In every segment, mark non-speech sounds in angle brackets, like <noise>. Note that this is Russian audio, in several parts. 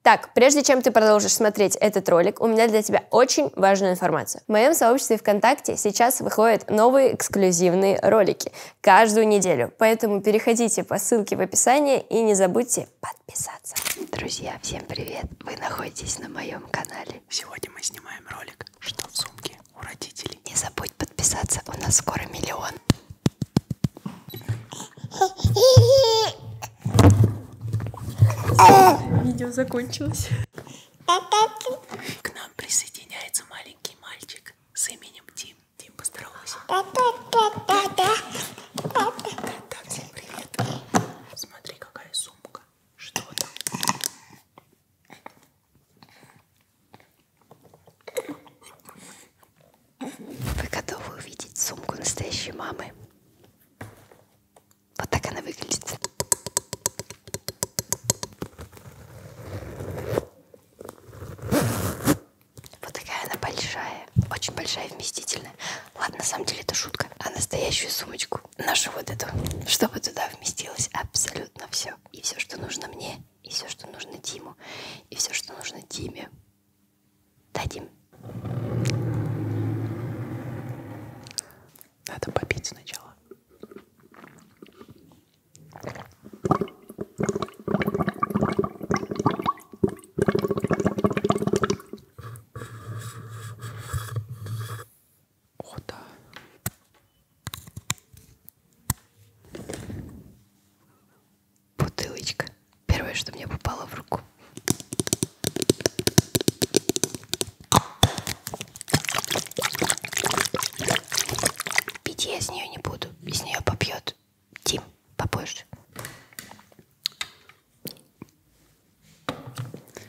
Так, прежде чем ты продолжишь смотреть этот ролик, у меня для тебя очень важная информация. В моем сообществе ВКонтакте сейчас выходят новые эксклюзивные ролики каждую неделю, поэтому переходите по ссылке в описании и не забудьте подписаться. Друзья, всем привет! Вы находитесь на моем канале. Сегодня мы снимаем ролик «Что в сумке у родителей?». Не забудь подписаться, у нас скоро миллион. Видео закончилось. К нам присоединяется маленький мальчик с именем Тим. Тим, поздоровайся. Так, Тим, привет. Смотри, какая сумка. Что там? Вы готовы увидеть сумку настоящей мамы? Вот так она выглядит. Вот такая она большая, очень большая, вместительная. Ладно, на самом деле это шутка. А настоящую сумочку, нашу вот эту, чтобы туда вместилось абсолютно все. И все, что нужно мне, и все, что нужно Диму, и все, что нужно Диме. Дадим. Надо попить сначала. О, да бутылочка. Первое, что мне попало в руку. Пить я с нее не буду. Из нее попьет Тим попозже.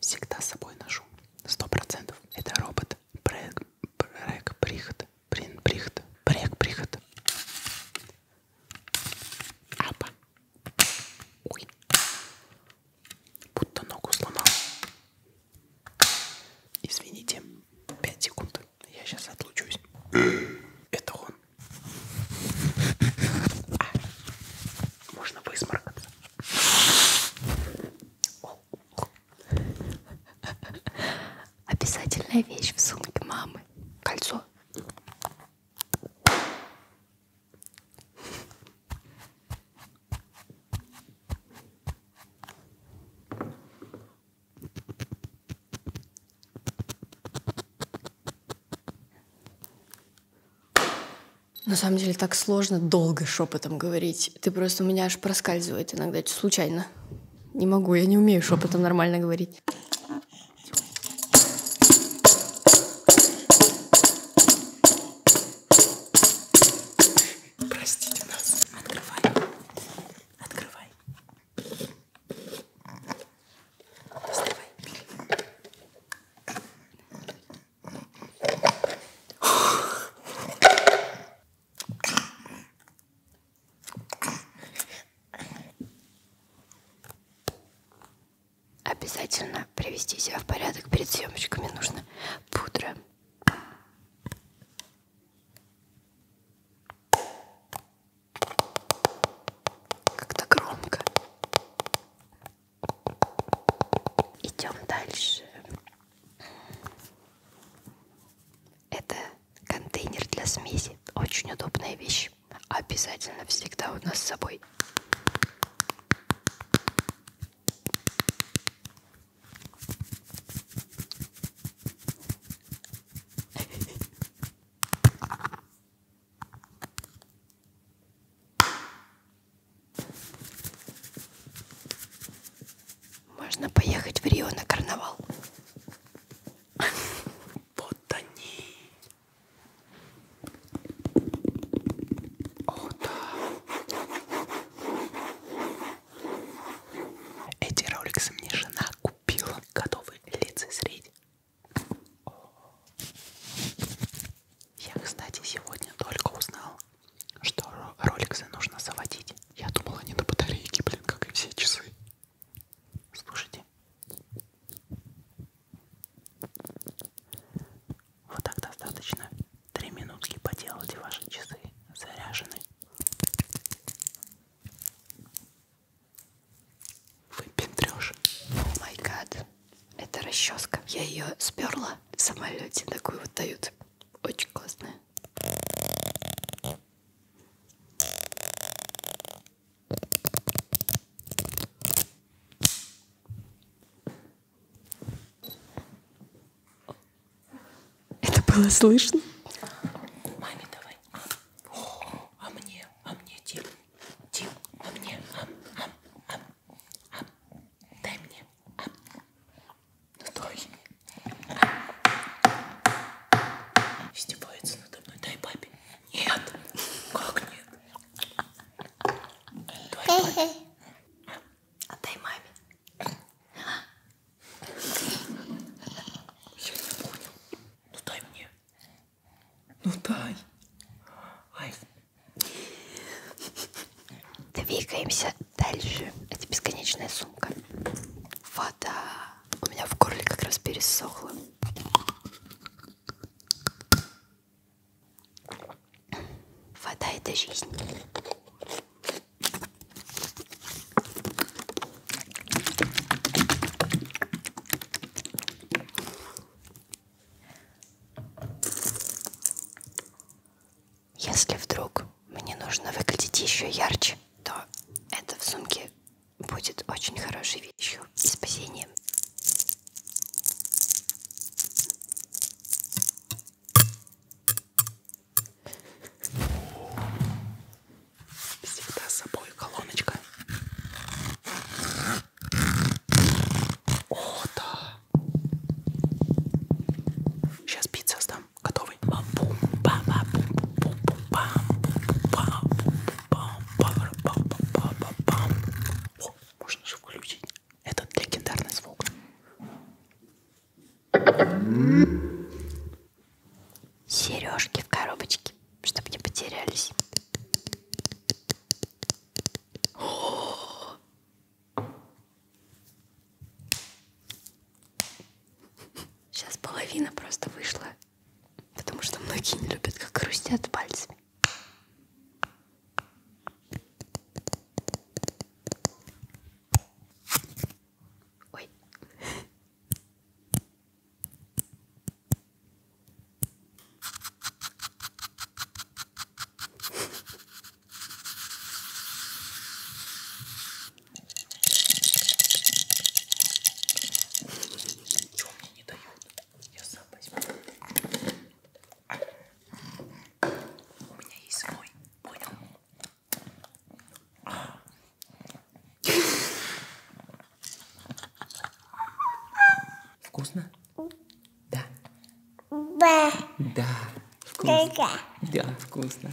Всегда с собой ношу. Сто процентов. Это робот. Брек, брек, приход. Брин, приход. Брек, приход. Апа. Ой. Будто ногу сломал. Извините. 5 секунд. Я сейчас отлучусь. <clears throat> Это он. А. Можно высморкаться. Обязательная вещь в сумке мамы. Кольцо. На самом деле так сложно долго шепотом говорить. Ты просто у меня аж проскальзывает иногда случайно. Не могу, я не умею шепотом нормально говорить. Простите нас. Открывай. Открывай. Доставай. Обязательно привести себя в порядок перед съемочками нужно пудра. Как-то громко. Идем дальше. Это контейнер для смеси. Очень удобная вещь. Обязательно всегда у нас с собой. Можно поехать в Рио на карнавал. Вот они. О, да. Эти роликсы мне жена купила. Готовы лицезреть. Я, кстати, сегодня только узнал, что роликсы нужно заводить. Я думала, они на батарейке, блин, как и все часы. Слушайте. Вот так достаточно. Три минутки поделайте ваши часы заряжены. Вы пентрешь. О май гад. Это расческа. Я ее сперла в самолете. Такую вот дают. Очень классная. Это было слышно? Маме давай. О, а мне, а мне, Тим, Тим, а мне, а, а, а, а. дай мне. А. Ну, стой. Издевается надо мной. Дай папе. Нет. Как нет? Давай папе. Отдай маме. Я не понял. Ну дай мне. Ну дай. Ай. Двигаемся дальше. Это бесконечная сумка. Вода у меня в горле как раз пересохло. Вода — это жизнь. Если вдруг мне нужно выглядеть еще ярче, то это в сумке будет очень хорошей вещью и спасением. Всегда с собой колоночка. О, да. Сейчас пицца сдам. Готовы? О, можно же включить этот легендарный звук. Сережки в коробочке, чтобы не потерялись. Сейчас половина просто вышла, потому что многие не любят, как хрустят пальцами. Ой. Ничего мне не дают. Я сам возьму. У меня есть свой. Понял? Вкусно? Да. Да. Да. Вкусно. Да, вкусно.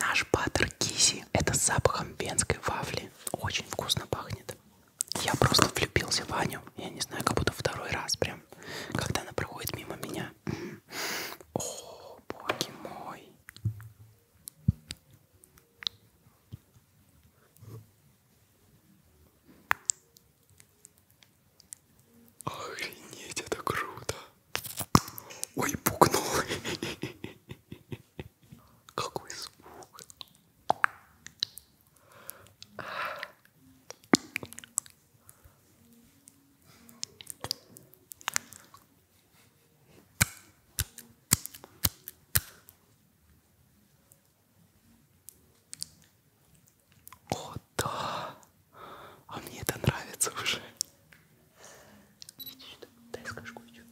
Наш баттер кизи. Это с запахом венской вафли. Очень вкусно пахнет. Я просто влюбился в Аню. Я не знаю, как будто второй раз прям. Когда она проходит мимо меня. О, боги мой. Охренеть, это круто. Ой, пукнул. Какой звук. О, да. А мне это нравится уже. Видишь, да? Дай скажу еще.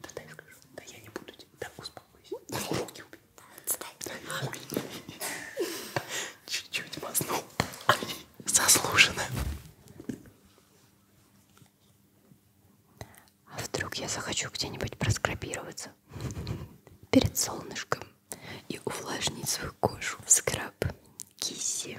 Да дай скажу. Да я не буду тебе. Да успокойся. Да руки убей. Да отстань. Чуть-чуть мазнул. Ай, заслуженно. А вдруг я захочу где-нибудь проскрабироваться перед солнышком и увлажнить свою кожу в скраб киси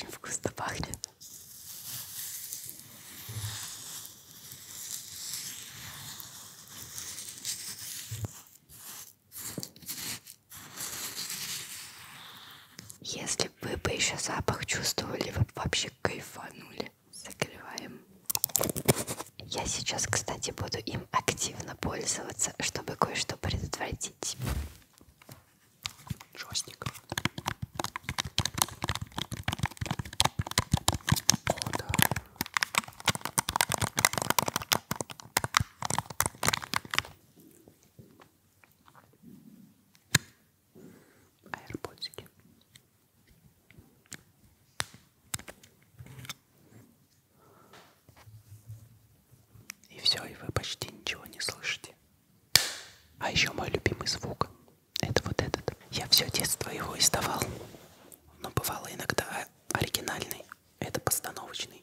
Очень вкусно пахнет. Если бы вы бы еще запах чувствовали, вы бы вообще кайфанули. Закрываем. Я сейчас, кстати, буду им активно пользоваться, чтобы кое-что предотвратить. Жестик. О, да аэропортики. И все, и вы почти ничего не слышите. А еще мой любимый звук. Это вот этот. Я все детство его издавал. Но бывало иногда оригинальный. Это постановочный.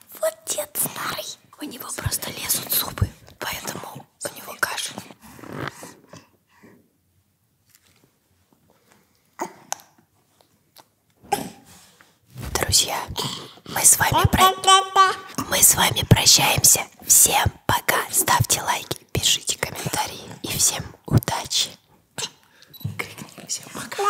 Вот дед старый. У него просто лезут зубы, поэтому у него кашель. Друзья, мы с вами про... мы с вами прощаемся. Всем пока. Ставьте лайки, пишите комментарии и всем удачи. Крикни всем пока.